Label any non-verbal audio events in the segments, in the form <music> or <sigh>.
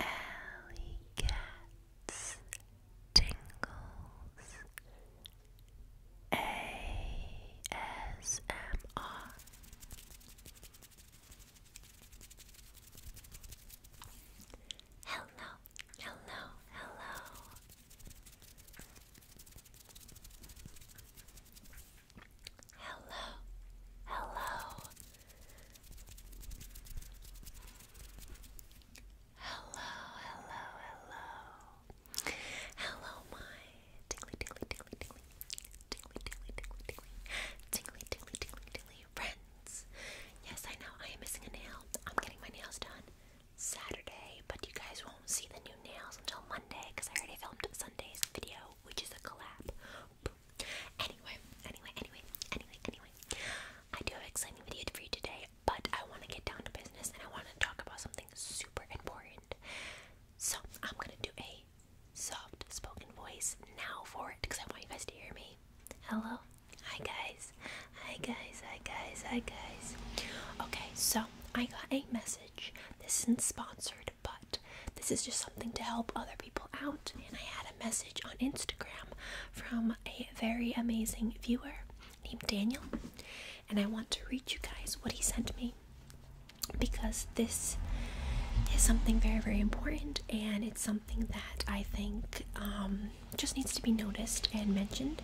Alley cats tingles ASMR. Hello, hello, hello. Hello, hello, hello, hello, hello, hello, my tingly, tingly, tingly, tingly, tingly, tingly, tingly, tingly, tingly friends. Yes, I know I am missing a nail. I'm getting my nails done Saturday, but you guys won't see the new nails until Monday because I already filmed Sunday's video, which is a collab. Anyway, anyway, anyway, anyway, anyway. I do have an exciting video for you today, but I want to get down to business and I want to talk about something super important. So I'm gonna do a soft spoken voice now for it because I want you guys to hear me. Hello, hi guys, hi guys, hi guys, hi guys. Okay, so I got a message. This isn't sponsored but this is just something to help other people out. And I had a message on Instagram from a very amazing viewer named Daniel, and I want to read you guys what he sent me because this is something very, very important, and it's something that I think um, just needs to be noticed and mentioned.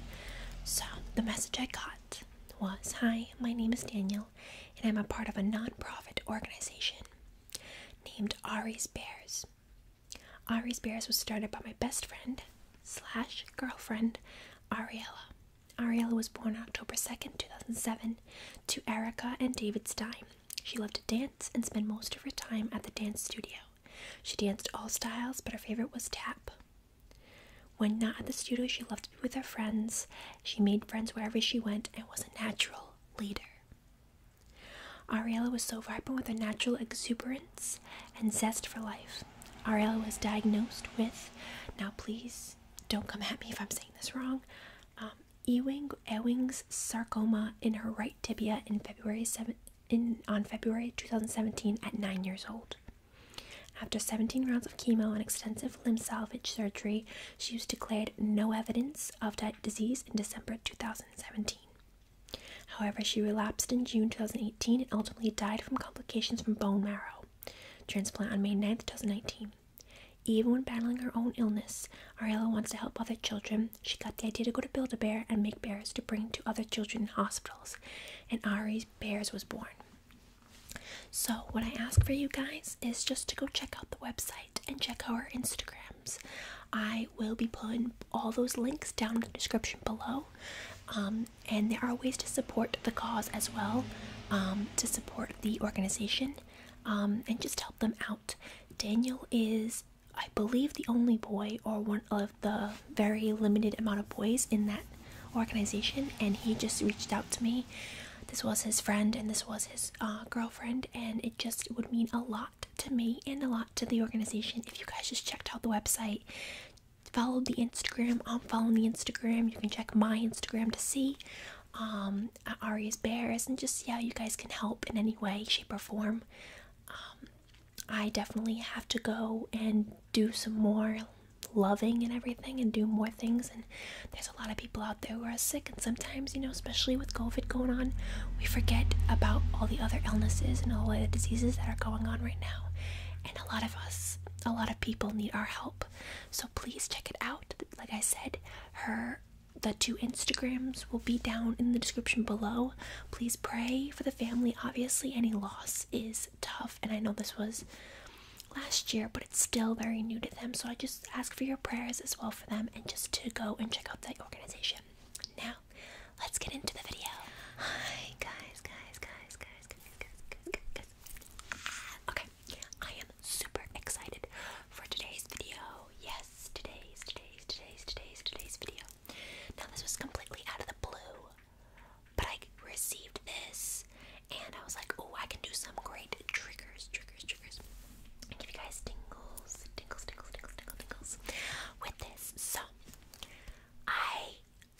So, the message I got was Hi, my name is Daniel, and I'm a part of a non-profit organization named Ari's Bears. Ari's Bears was started by my best friend slash girlfriend Ariella. Ariella was born October 2nd, 2007, to Erica and David Stein. She loved to dance and spent most of her time at the dance studio. She danced all styles, but her favorite was tap. When not at the studio, she loved to be with her friends. She made friends wherever she went and was a natural leader. Ariella was so vibrant with a natural exuberance and zest for life. Ariella was diagnosed with, now please don't come at me if I'm saying this wrong, um, Ewing Ewing's sarcoma in her right tibia in February 7, in on February 2017 at 9 years old. After 17 rounds of chemo and extensive limb salvage surgery, she was declared no evidence of disease in December 2017. However, she relapsed in June 2018 and ultimately died from complications from bone marrow transplant on May 9, 2019. Even when battling her own illness, Ariella wants to help other children. She got the idea to go to Build a Bear and make bears to bring to other children in hospitals, and Ari's Bears was born. So, what I ask for you guys is just to go check out the website and check our Instagrams. I will be putting all those links down in the description below. Um, and there are ways to support the cause as well, um, to support the organization, um, and just help them out. Daniel is, I believe, the only boy or one of the very limited amount of boys in that organization, and he just reached out to me. This was his friend, and this was his uh, girlfriend, and it just would mean a lot to me and a lot to the organization if you guys just checked out the website. Follow the Instagram. I'm following the Instagram. You can check my Instagram to see um, Ari's Bears and just see how you guys can help in any way, shape, or form. Um, I definitely have to go and do some more loving and everything and do more things and there's a lot of people out there who are sick, and sometimes, you know, especially with COVID going on, we forget about all the other illnesses and all the diseases that are going on right now. And a lot of us, a lot of people need our help. So please check it out. Like I said, her the two Instagrams will be down in the description below. Please pray for the family. Obviously, any loss is tough, and I know this was last year, but it's still very new to them. So I just ask for your prayers as well for them and just to go and check out that organization. Now, let's get into the video. Hi, guys, guys, guys, guys, guys, guys, guys, Okay, I am super excited for today's video. Yes, today's, today's, today's, today's, today's video. Now, this was completely out of the blue, but I received this and I was like, oh, I can do some great triggers, triggers, triggers give you guys tingles, tingles, tingles, tingles, tingles, tingles with this. So, I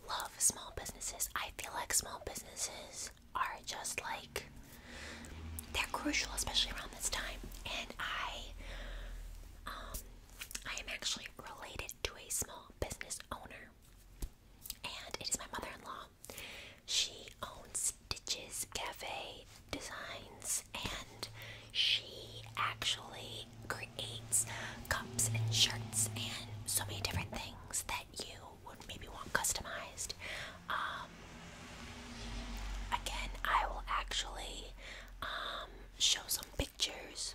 love small businesses. I feel like small businesses are just like they're crucial, especially around this time. And I, um, I am actually related to a small business owner, and it is my mother-in-law. She owns Stitches Cafe Designs and she actually creates cups and shirts and so many different things that you would maybe want customized. Um, again, I will actually um, show some pictures.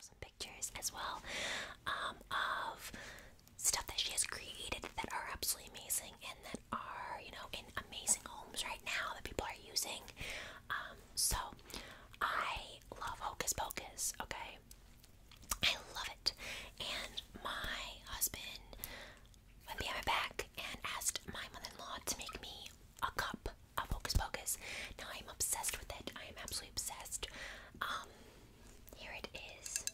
some pictures as well um, of stuff that she has created that are absolutely amazing and that are you know in amazing homes right now that people are using um, so i love hocus pocus okay i love it and my husband went behind my back and asked my mother-in-law to make me a cup of hocus pocus now i'm obsessed with it i am absolutely obsessed um, here it is.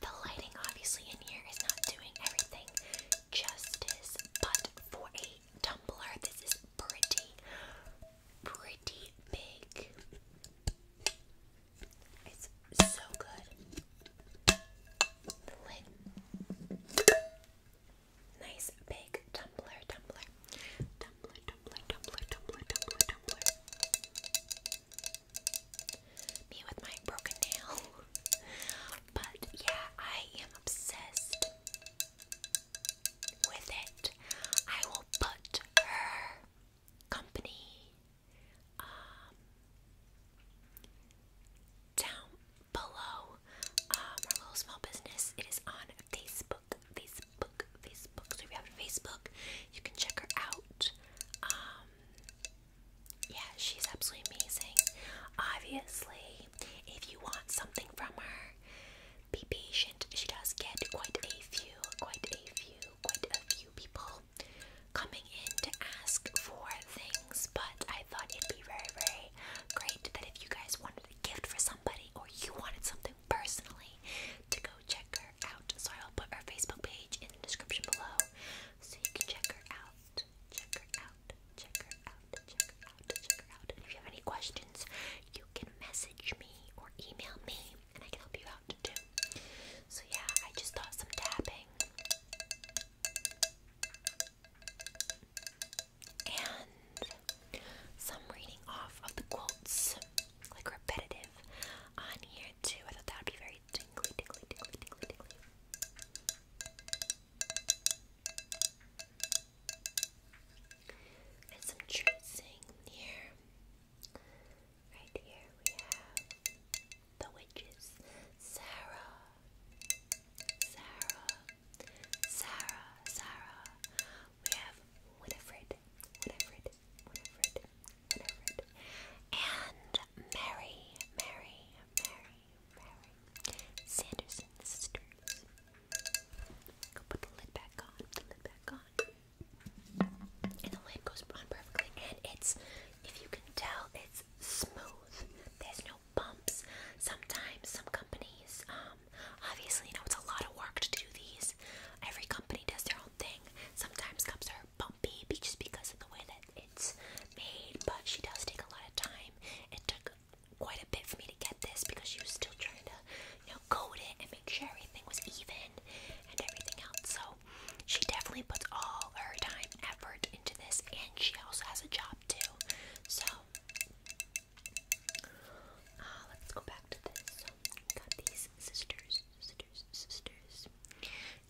The lighting, obviously, in here is not doing everything justice, but for a tumbler, this is pretty, pretty big. It's so good. The lid. Nice big tumbler, tumbler, me with my broken nail. <laughs> but yeah, I am obsessed with it. I will put her company um down below um, our little small business. It is on Facebook. Facebook, Facebook, So if you have Facebook, you can check her out. Um, yeah, she's absolutely amazing. Obviously, if you want something from her, be patient. She does get quite a few, quite a few, quite a few people coming in to ask for things, but I thought it'd be very, very great that if you guys wanted a gift for somebody or you wanted something personally to go check her out. So I'll put her Facebook page in the description below so you can check her out. Check her out, check her out, check her out, check her out. And if you have any questions, you can message me or email me and I can help you out too. So yeah, I just thought some tapping. And some reading off of the quotes, like repetitive, on here too. I thought that would be very tingly, tingly, tingly, tingly, tingly. And some tracing here. Right here we have the witches. Sarah, Sarah, Sarah, Sarah. We have Winifred, Winifred, Winifred, Winifred, and Mary, Mary, Mary, Mary Sanderson sisters. Go put the lid back on, the lid back on. And the lid goes on perfectly, and it's, if you can tell, it's smooth. There's no bumps. Sometimes some companies, them. Obviously, you know, it's a lot of work to do these. Every company does their own thing. Sometimes cups are bumpy just because of the way that it's made, but she does take a lot of time. It took quite a bit for me to get this because she was still trying to, you know, coat it and make sure everything was even and everything else. So she definitely puts all her time, effort into this, and she also has a job too. So Ah, let's go back to this. got these sisters, sisters, sisters.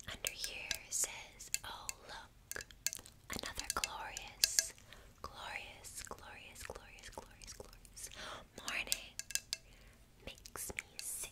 Under here says, oh look, another glorious, glorious, glorious, glorious, glorious, glorious morning. Makes me sick.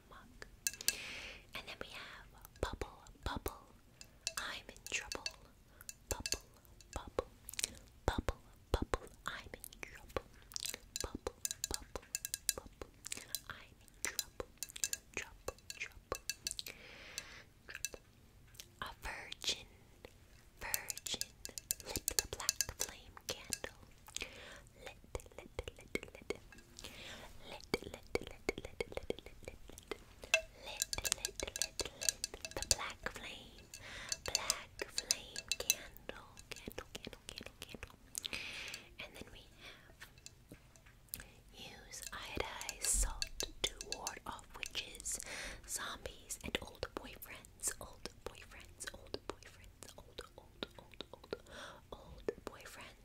And then we have Bubble Bubble. I'm in trouble. Bubble Bubble. Bubble Bubble. I'm in trouble. Bubble Bubble Bubble. I'm in trouble. Trouble Trouble. Trouble. A virgin. Virgin. Lit the black flame candle the black flame black flame candle candle candle candle candle and then we have use iodized salt to ward off witches zombies and old boyfriends old boyfriends old boyfriends old old old old old boyfriends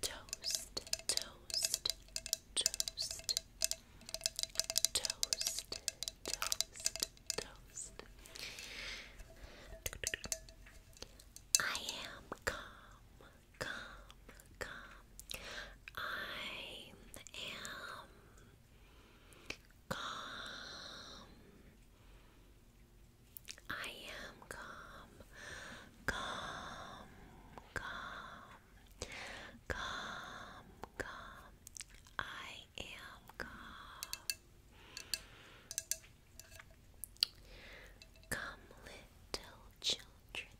Toast, toast, toast, toast, toast, toast. I am calm, calm, calm. I am calm. I am calm, calm, calm, calm, calm. I am calm. Come, little children,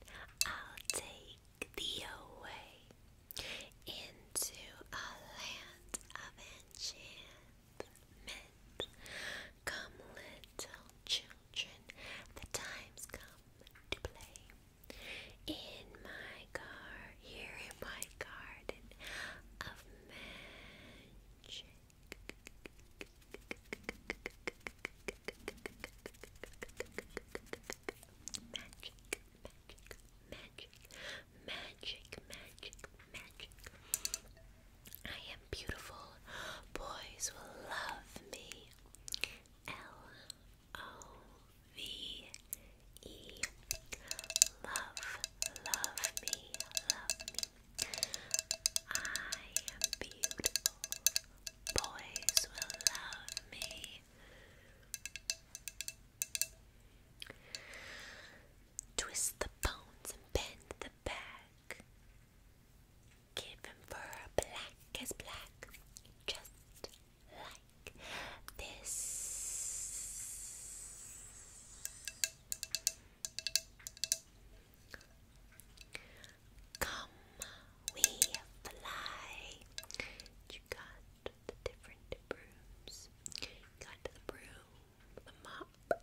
I'll take thee away into a land of enchantment. Come, little children, the time's come to play. In my car, here in my garden of Magic, magic, magic, magic, magic, magic. I am beautiful. Boys will love me. L O V E. Love, love me, love me. I am beautiful. Boys will love me. Twist the bones and bend the back given for black as black, just like this. Come, we fly. You got the different brooms. got the broom, the mop,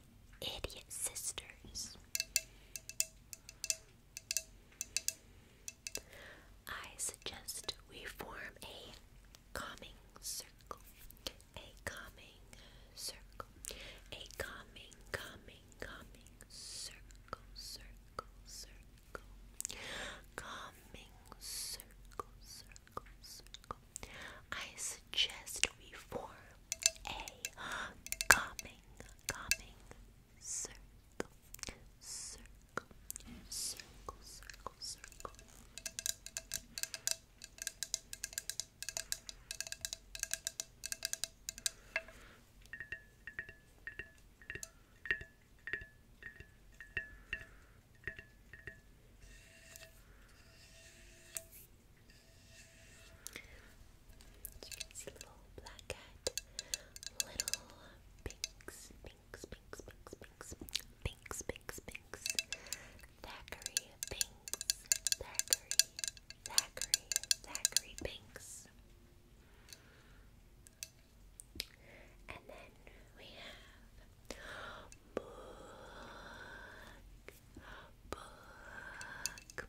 Idiot Sisters. I suggest we form a calming circle. A calming circle. A calming, calming, calming circle, circle, circle. Calming circle, circle, circle. I suggest we form a calming, calming circle, circle, circle, circle, circle. So you little black cat, little pinks, pinks, pinks, pinks, pinks, pinks, pinks, pinks, thackeray pinks, thackeray, thackeray, thackeray pinks. And then we have book, book,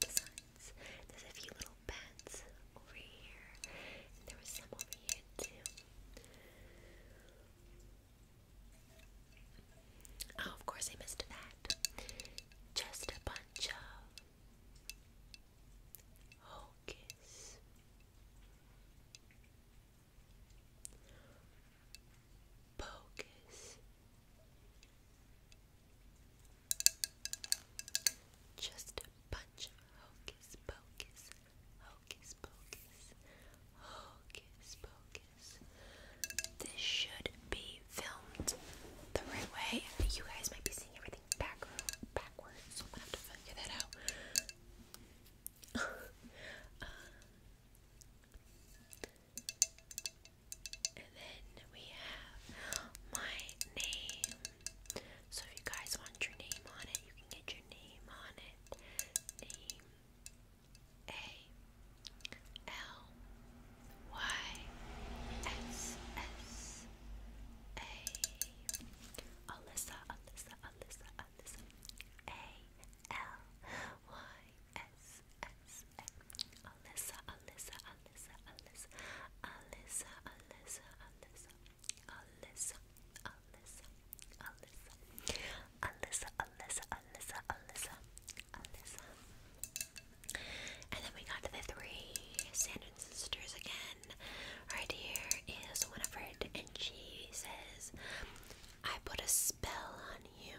there's a few little bats over here. And there was some over here too. Oh, of course I missed that. Just a bunch of hocus focus. Just a bunch of hocus pocus, hocus pocus, pocus. This should be filmed the right way. You guys might be seeing everything backwards, so I'm gonna have to figure that out. <laughs> Uh, and then we have my name. So if you guys want your name on it, you can get your name on it. Name A L Y S S A Alyssa Alyssa Alyssa Alyssa A L Y S S Alyssa, Alyssa, Alyssa, Alyssa, Alyssa, Alyssa, Alyssa, Alyssa, Alyssa, Alyssa, Alyssa, Alyssa, Alyssa, Alyssa, Alyssa. And then we got to the three Sandon sisters again. Right here is Winifred, and she says, I put a spell on you.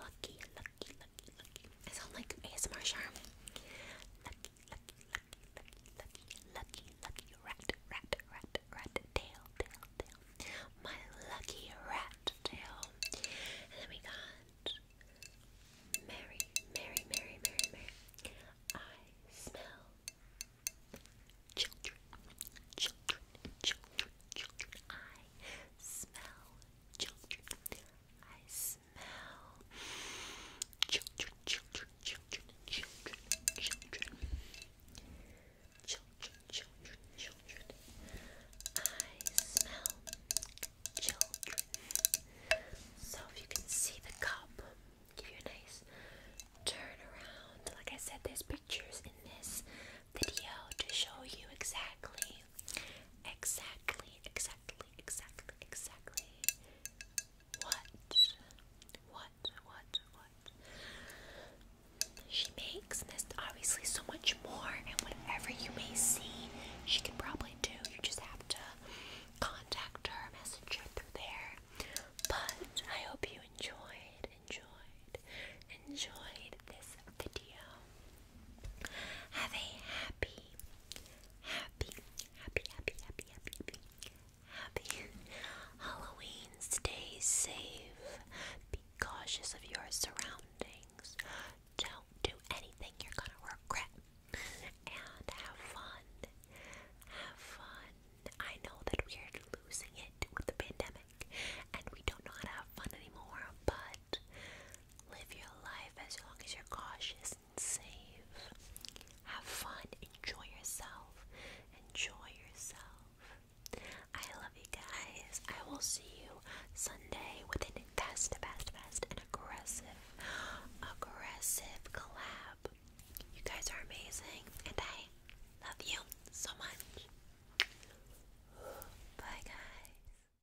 Lucky, lucky, lucky, lucky. I sound like ASMR charm. Lucky, lucky, lucky, lucky, lucky, lucky, lucky rat, rat, rat, rat tail, tail, tail. My lucky rat tail. And then we got Mary, Mary, Mary, Mary, Mary. I smell children, children, children, children. I smell children. I smell Children, children, children, children, children. Children, children, children. I smell children. So if you can see the cup, give you a nice turn around. Like I said, there's pictures in this video to show you exactly Exactly, exactly, exactly, exactly. What? What? What? What? She makes this obviously so much more, and whatever you may see, she can probably do. You just have to contact her, message her through there. But I hope you enjoyed, enjoyed, enjoyed this video. Have a happy, happy, happy, happy, happy, happy, happy, happy Halloween. Stay safe. Be cautious of your surroundings. Don't do anything you're gonna regret. And have fun. Have fun. I know that we're losing it with the pandemic and we don't know how to have fun anymore, but Live your life as long as you're cautious and safe. Have fun, enjoy yourself. Enjoy yourself. I love you guys. I will see you Sunday with an fast, fast, fast, and aggressive, aggressive collab. You guys are amazing, and I love you so much. Bye, guys.